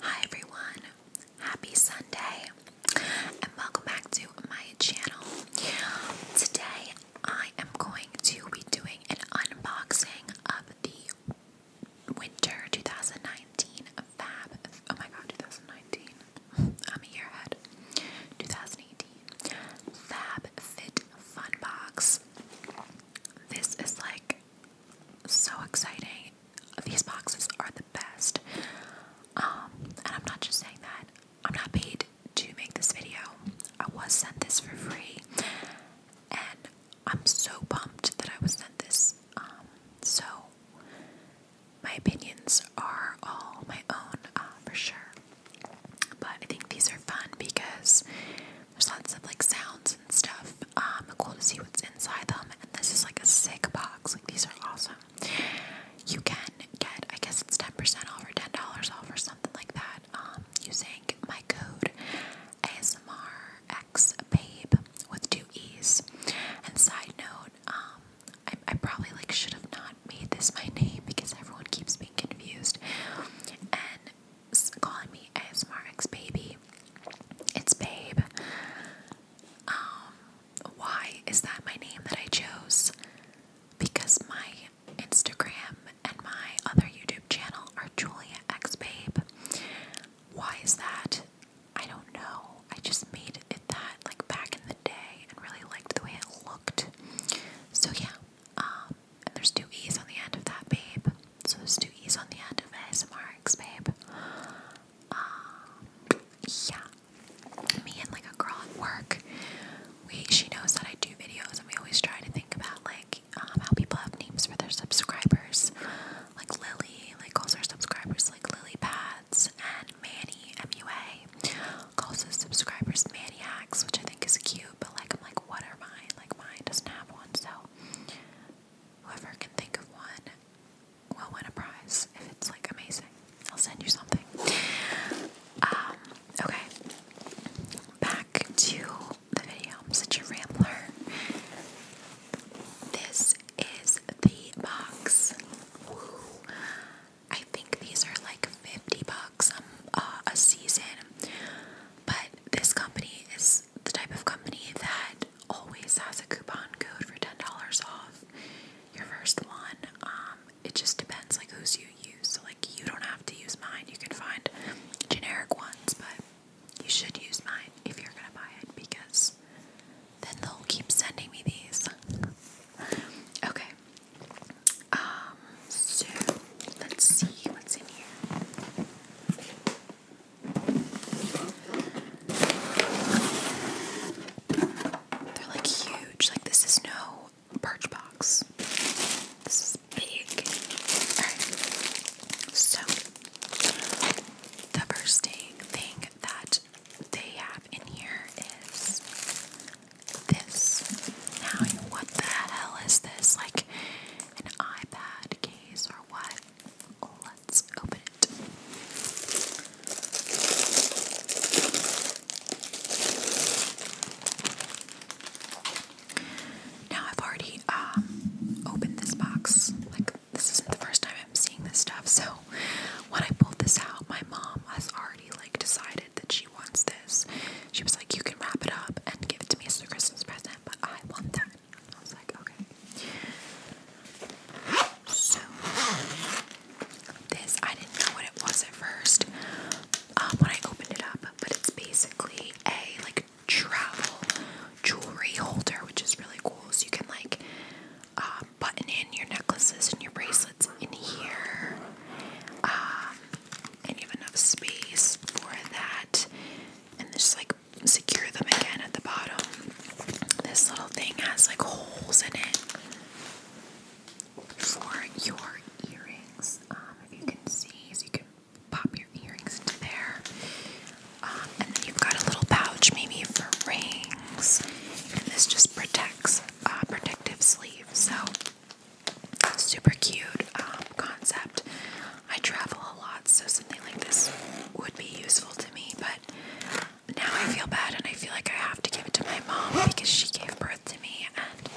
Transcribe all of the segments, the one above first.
Hi everyone, happy Sunday, and welcome back to my channel. Today I am going to be doing an unboxing of the winter 2019 Fab. Oh my god, 2019. I'm a year ahead. 2018 Fab Fit Fun Box. This is like so exciting these boxes are the best. Um, and I'm not just saying that. I'm not paid to make this video. I was sent this for free. And I'm so pumped that I was sent this. Um, so my opinions are all my own, uh, for sure. But I think these are fun because there's lots of like sounds and stuff um, cool to see what's inside them. And this is like a sick box. Like these are awesome. You can get, I guess it's 10% off or $10 off or something like that um, using my code ASMRXBabe with two E's. And side note, um, I, probably like should have not made this my name because everyone keeps being confused and calling me ASMRXbaby. It's babe. Um, why is that my name that I chose? Because my Instagram and my other YouTube channel are Julia X Babe. Why is that? I don't know. I just made it that like back in the day and really liked the way it looked. So yeah. Um, and there's two E's on the end of that, babe. So there's two E's on the end of ASMR X Babe. Um, yeah, me and like a girl at work, we she knows that I do videos, and we always try to think about like um, how people have names for their subscribers, like Lily, like calls her subscribers like Lily Pads, and Manny MUA calls his subscribers Maniacs, which I think is cute. But like, I'm like, what are mine? Like mine doesn't have one, so whoever can think of one will win a prize if it's like amazing. I'll send you something. Um, okay. Back to the video. I'm such a rambler. This is the box. I think these are like 50 bucks uh, a season. But this company is the type of company that always has a coupon code for ten dollars off your first one. Um, it just depends like who's you use. So like you don't have to use mine. You can find generic ones, but you should use mine if you're gonna buy it because then they'll keep sending me these. okay. Um, so let's see what's in here. They're like huge. Like, this is no birch box. This is big. Alright. So, the first thing that they have in here is this. Now, what the hell is this? Like, an iPad case or what? Let's open now I've already um, opened this box. Like this isn't the first time I'm seeing this stuff. So when I pulled this out, my mom has already like decided that she wants this. She was like, "You can wrap it up and give it to me as a Christmas present, but I want that." I So, this, I didn't know what it was at first um, when I opened it up, but it's basically a like travel jewelry holder, which is really cool. So, you can like uh, button in your necklaces and your bracelets in here. Um, and you have enough space for that. And there's like secure them again at the bottom. This little thing has like holes in it for your earrings. Um, if you can see, so you can pop your earrings into there. Um, and then you've got a little pouch, maybe for rings. And this just protects a uh, protective sleeve. So super cute um, concept. I travel a lot, so something like this would be useful to me, but now I feel bad and I feel like I have to give it to my mom because she gave birth to me and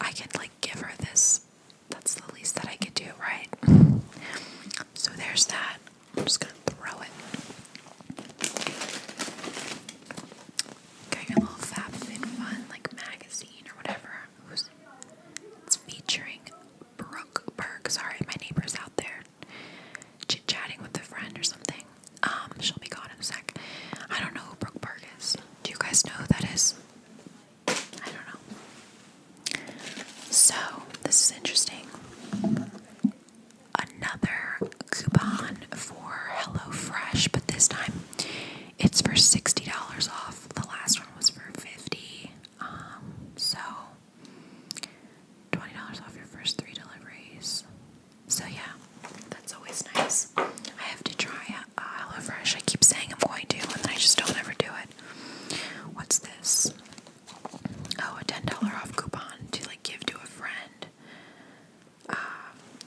I can like give her this. That's the least that I could do, right? So there's that. I'm just gonna throw it. Getting a little FabFitFun like magazine or whatever. It's featuring Brooke Burke. Sorry, my neighbor's out there chit chatting with a friend or something. Um, she'll be gone in a sec. I don't know who Brooke Park is. Do you guys know who that is? I don't know. So, this is interesting. Another coupon for Hello Fresh, but this time it's for $60 off. The last one was for 50 Um, so $20 off your first three deliveries. So, yeah, that's always nice. I have to try uh, HelloFresh. I keep saying I'm going to, and then I just don't ever do it. What's this? Oh, a $10 off coupon to like give to a friend uh,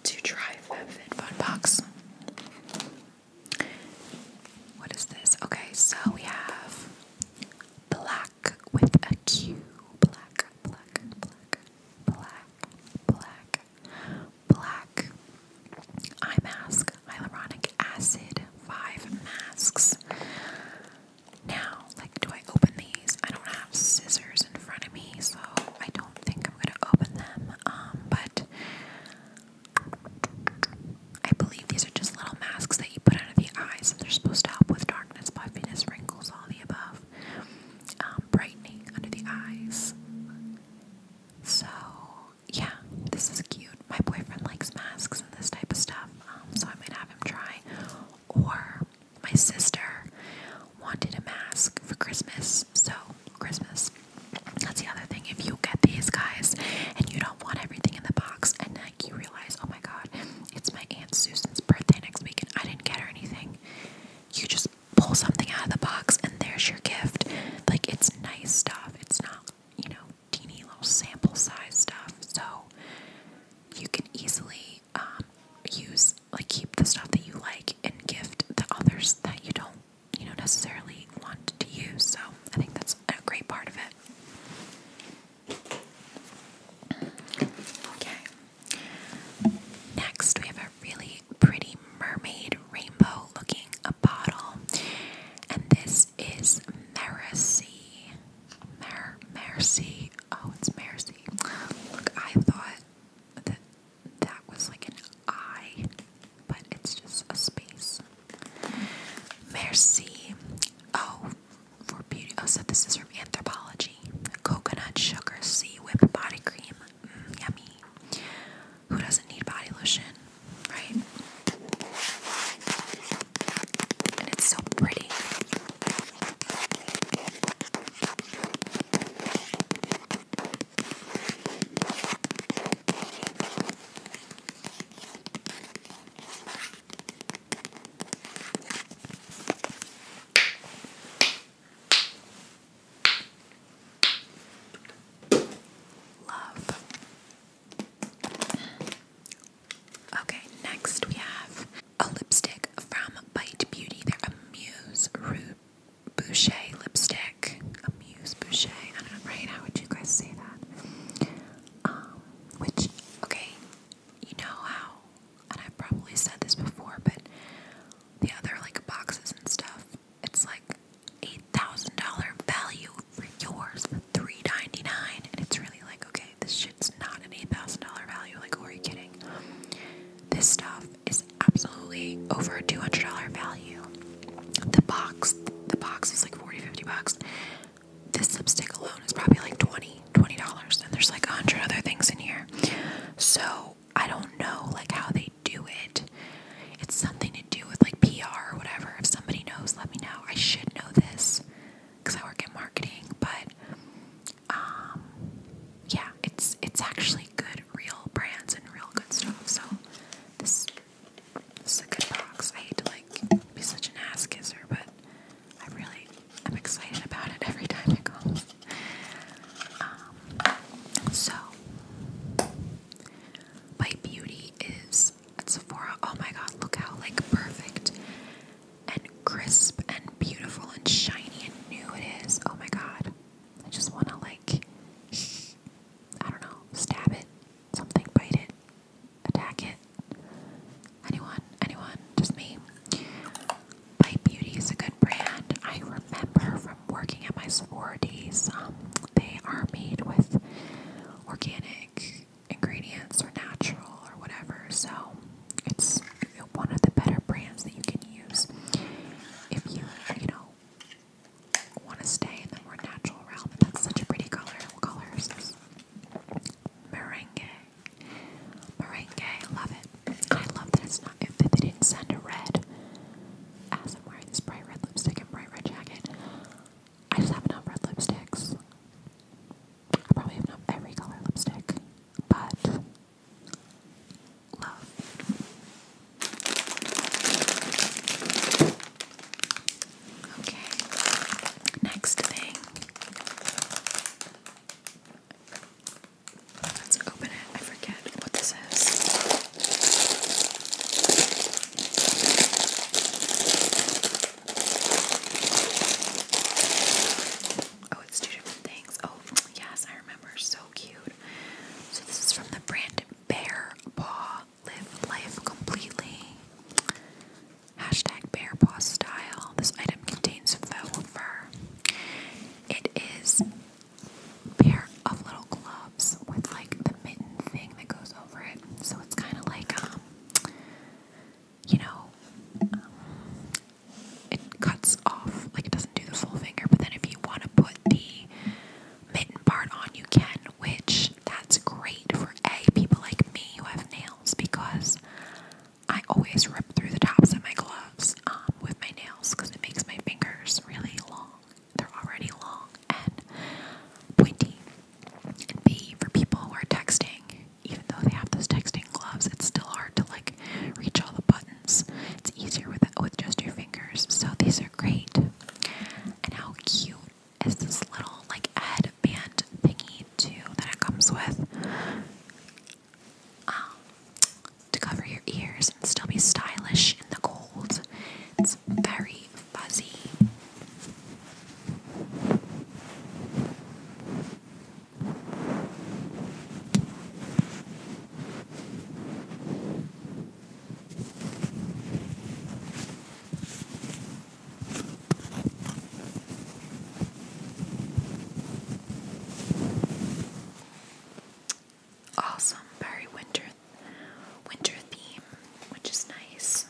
to try FabFitFun Fun Box. What is this? Okay, so we have black with a Q. Black, black, black, black, black, black. Eye mask, hyaluronic acid, five masks. Now, like, do I open these? I don't have scissors in front of me, so I don't think I'm gonna open them. Um, but I believe these are just little masks that you put under the eyes, and they're supposed to help with darkness, puffiness, wrinkles, all the above. Um, brightening under the eyes. So, yeah, this is cute. My boyfriend likes masks and this type of stuff, um, so I might have him try. Or, my sister wanted a mask for Christmas, so Christmas. That's the other thing. If you get these guys and you don't want everything in the box, and you realize, oh my god, it's my Aunt Susan's birthday next week and I didn't get her anything. You just pull something out of the box and there's your gift. Like it's nice stuff. It's not, you know, teeny little sample size stuff. So you can easily um, use, like, keep the stuff that you like and gift the others that you don't, you know, necessarily want to use. So I think that's a great part of it. Okay. Next, we have a really pretty mermaid rainbow looking a bottle, and this is Mercy. Mer Mercy. Oh, it's Mercy. Look, I thought that that was like an I, but it's just a space. Mercy. Oh, for beauty. Oh, so this is from Anthropology. Coconut sugar sea whip body cream. Mm, yummy. Who doesn't need body lotion, right? And it's so pretty. Love. Okay, next we have a lipstick from Bite Beauty. they Amuse a Muse Boucher lipstick. Amuse Muse Boucher. I don't know, right? How would you guys say that? Um, which, okay, you know how, and I've probably said this before, but the other like boxes and stuff, it's like $8,000 value for yours for 3 dollars And it's really like, okay, this shit's not an $8,000 value. Like, are you kidding? This stuff is absolutely over a $200 value. The box, the box is like 40, 50 bucks this lipstick alone is probably like 20 dollars and there's like a hundred other things in here so I don't know like how they do it it's something to do with like PR or whatever if somebody knows let me know I should know this because I work in marketing but um yeah it's it's actually good real brands and real good stuff so this this is a good box I hate to like be such an ass kisser but I really am excited about it every time it comes. Um, so, my beauty is at Sephora. Oh my god, look how like perfect and crisp and beautiful and shiny and new it is. Oh my god. I just want to like I don't know, stab it, something, bite it, attack it. Anyone, anyone, just me. My Beauty is a good brand. I remember from working at my sororities, um, they are made with organic ingredients or natural or whatever. So it's one of the better brands that you can use if you, you know, want to stay in the more natural realm. And that's such a pretty color. What Meringue, meringue, I love it. I love that it's not, if they didn't send a red, as I'm wearing this bright red lipstick and bright red jacket, I just have enough red lipsticks. I probably have enough every color lipstick, but love. Okay, next thing. Let's open it. I forget what this is. Oh, it's different things. Oh, yes, I remember. So cute. So, this is from the brand Bear Paw Live Life Completely. Hashtag bear paw style. This item contains faux fur. It is a pair of little gloves with like the mitten thing that goes over it. So it's kind of like, um, you know, um, it cuts off, like it doesn't do the full finger, but then if you want to put the mitten part on, you can, which that's great for A, people like me who have nails because I always rip through the tops of my gloves um, with my nails because it makes my fingers really long. They're already long and pointy. And B, for people who are texting, even though they have those texting gloves, it's still hard to like reach all the buttons. It's easier with just your fingers. So these are great. And how cute it's this little like headband thingy too that it comes with um, to cover your ears and still be stylish in the cold. It's very fuzzy. Awesome, very winter winter theme, which is nice.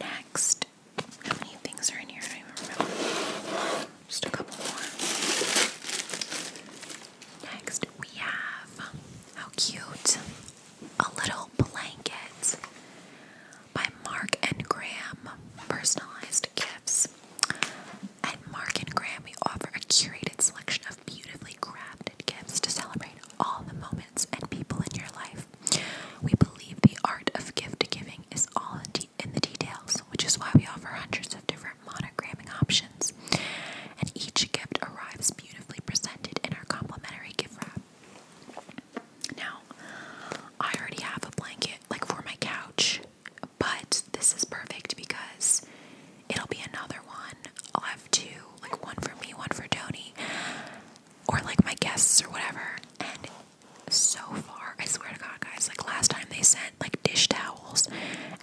Next, how many things are in here? I don't remember. Just a couple more. Next, we have how cute. A Little Blanket by Mark and Graham. Personalized gifts. At Mark and Graham, we offer a curated selection of beautifully crafted gifts to celebrate all the moments and people in your life. We believe the art of gift giving is all in, in the details, which is why we offer hundreds of different monogramming options, and each gift arrives beautifully presented in our complimentary gift wrap. Now, I already have a blanket like for my couch, but this is perfect because it'll be another one. I'll have two, like one for me, one for Tony, or like my guests or whatever. And so far, I swear to God, guys, like last time they sent like dish towels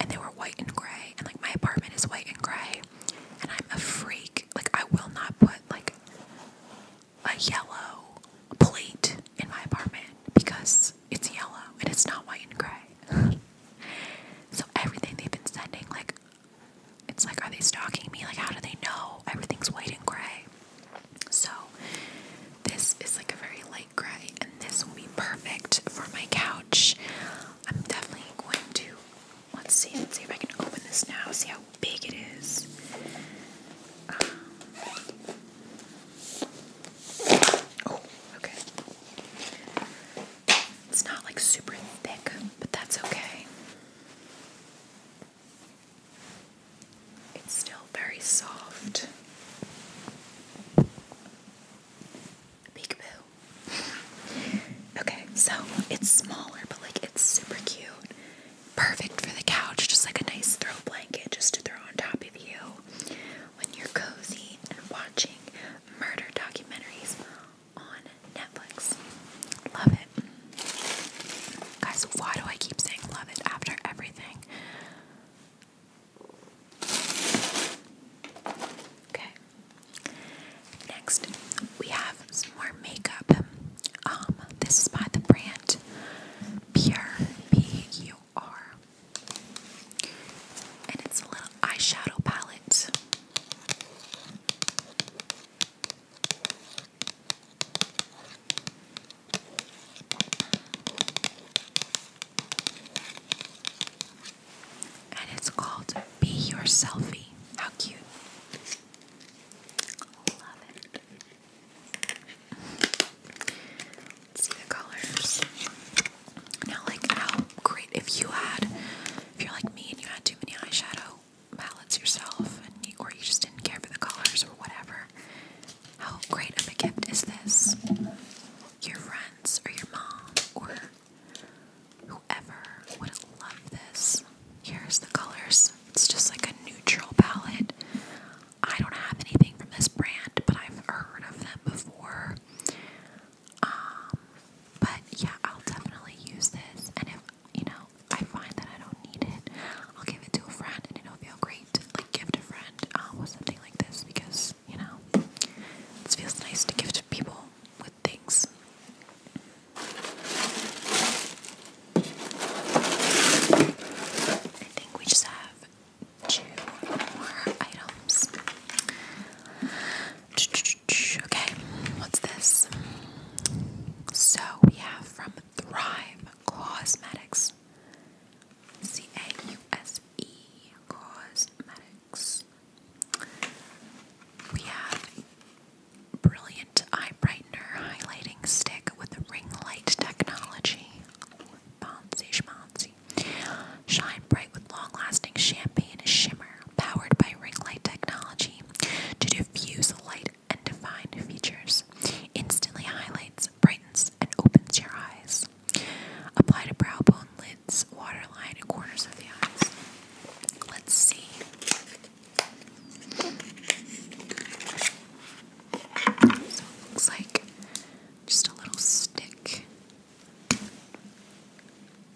and they were white and gray, and like my apartment is white and gray and I'm a freak. Like I will not put like a yellow plate in my apartment because it's yellow and it's not white and gray. so everything they've been sending, like it's like, are they stalking me? Like how do they know everything's white and gray? So this is like a very light gray, and this will be perfect for my couch. I'm definitely going to let's see, let's see if I can open this now, see how big it is. Um, oh, okay. It's not like super thick, but that's okay. It's still very soft. Peekaboo. okay, so it's smaller, but like it's super cute. Perfect for the couch, just like a nice throw blanket just to throw on top of you when you're cozy and watching murder documentaries on Netflix. Love it. Guys, why do I keep saying love it after everything? Okay. Next, we have some more makeup. Um, this is by the brand Pure P U R, and it's a little eyeshadow palette and it's called Be Your Selfie. How cute! Love it. see the colors. Now, like, how great if you had, if you're like me and you had too many eyeshadow palettes yourself, and or you just didn't care for the colors or whatever. How great of a gift is this? Your friends, or your mom, or Whoever would love this. Here's the colors. It's just like a neutral palette. I don't have anything from this brand, but I've heard of them before. Um, but yeah, I'll definitely use this. And if you know I find that I don't need it, I'll give it to a friend, and it'll feel great. Like gift a friend uh, with something like this because you know. It feels nice to give to people with things. I think we just have two more items. Okay, what's this? So we have from Thrive Cosmetics. C A U S E Cosmetics. We have brilliant eye brightener highlighting stick with ring light technology. Bouncy schmancy. Shine bright with long-lasting champagne shimmer, powered by ring light technology to diffuse light and define features. Instantly highlights, brightens, and opens your eyes. Apply to brow bone lids, waterline, and corners of the eyes. Let's see. So it looks like just a little stick.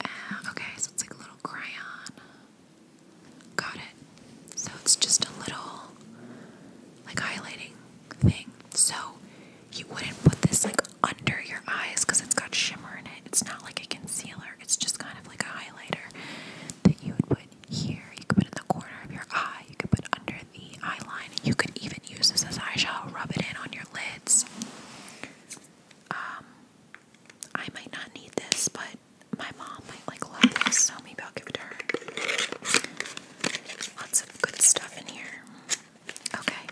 Ah, okay, so it's like a little crayon. Got it. So it's just a little like highlighting thing. So you wouldn't put this like under your eyes because it's got shimmer in it. It's not like a concealer, it's just kind of like a highlighter that you would put here. You could put in the corner of your eye, you could put under the eye line. You could even use this as eyeshadow, rub it in on your lids. Um, I might not need this, but my mom might like love this, so maybe I'll give it to her. Lots of good stuff in here. Okay.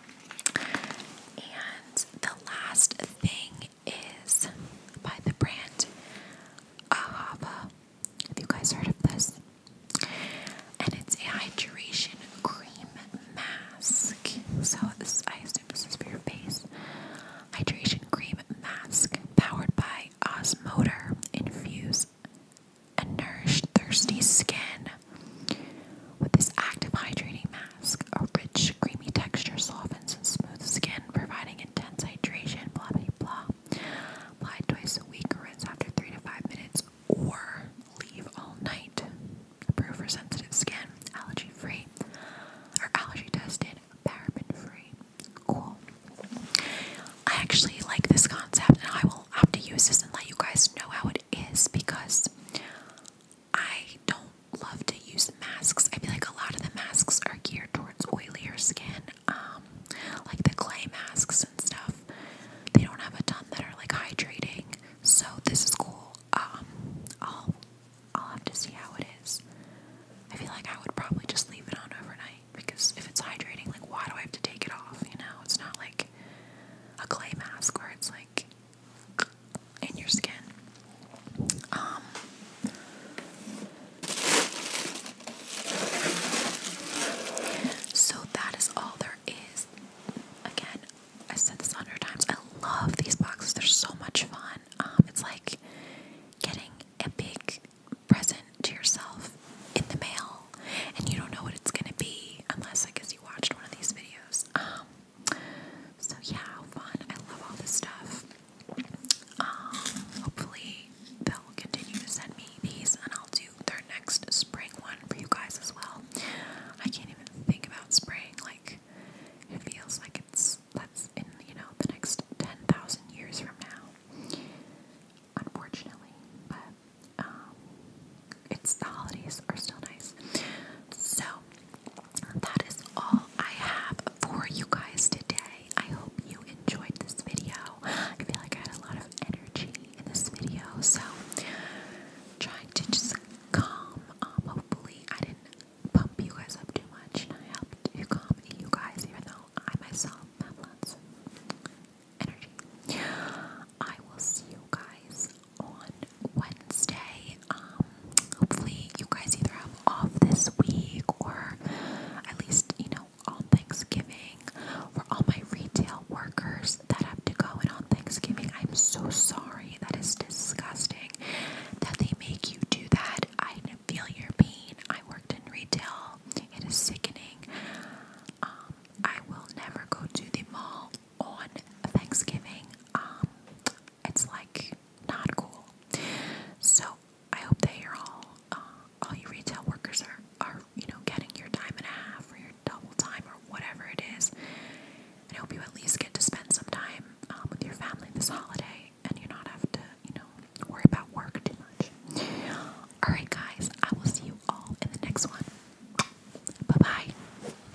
And the last thing is by the brand Ahava. Have you guys heard of this? And it's a hydration cream mask. So this, I assume this is for your face. Hydration cream mask powered by osmoter Infuse and nourished thirsty skin with this active hydrating mask, a rich, creamy texture softens and smooths skin, providing intense hydration, and blah blah. Apply twice a week, rinse after three to five minutes, or leave all night. Approved for sensitive skin, allergy free, or allergy tested, paraben free. Cool. I actually like this concept, and I will have to use this and let you guys know how it is because I don't love to use masks. I feel like a lot of the masks are geared towards oilier skin, um, like the clay masks and stuff. They don't have a ton that are like hydrating, so this is cool. Um, I'll I'll have to see how it is. I feel like I would probably just leave it on overnight because if it's hydrating, like why do I have to take it off? You know, it's not like a clay mask where it's like in your skin. Um so that is all there is. Again, I said this a hundred times. I love these boxes. They're so much fun. Um, it's like getting a big present to yourself in the mail, and you don't know what it's gonna be unless I guess you watched one of these videos. Um, so yeah, fun. I love all this stuff. Um, hopefully they'll continue to send me these and I'll do their next spring one for you guys as well. I can't even think about spring, like it feels like it's that's in, you know, the next ten thousand years from now. Unfortunately. But um, it's the holidays are still nice. So that is all I have for you guys today. I hope you enjoyed this video. I feel like I had a lot of energy in this video, so trying to just calm. Um, hopefully, I didn't pump you guys up too much, and I helped you calm you guys, even though I myself have lots of energy. I will see you guys on Wednesday. Um, hopefully, you guys either have off this week or at least, you know, on Thanksgiving. For all my retail workers that have to go in on Thanksgiving, I'm so sorry. That is disgusting that they make you do that. I feel your pain. I worked in retail, it is sickening. Um, I will never go to the mall on Thanksgiving, um, it's like not cool. So I hope that you're all, uh, all you retail workers are, are, you know, getting your time and a half or your double time or whatever it is. I hope you at least get to spend some time um, with your family this holiday and you not have to, you know, worry about work too much. Alright, guys, I will see you all in the next one. Bye bye.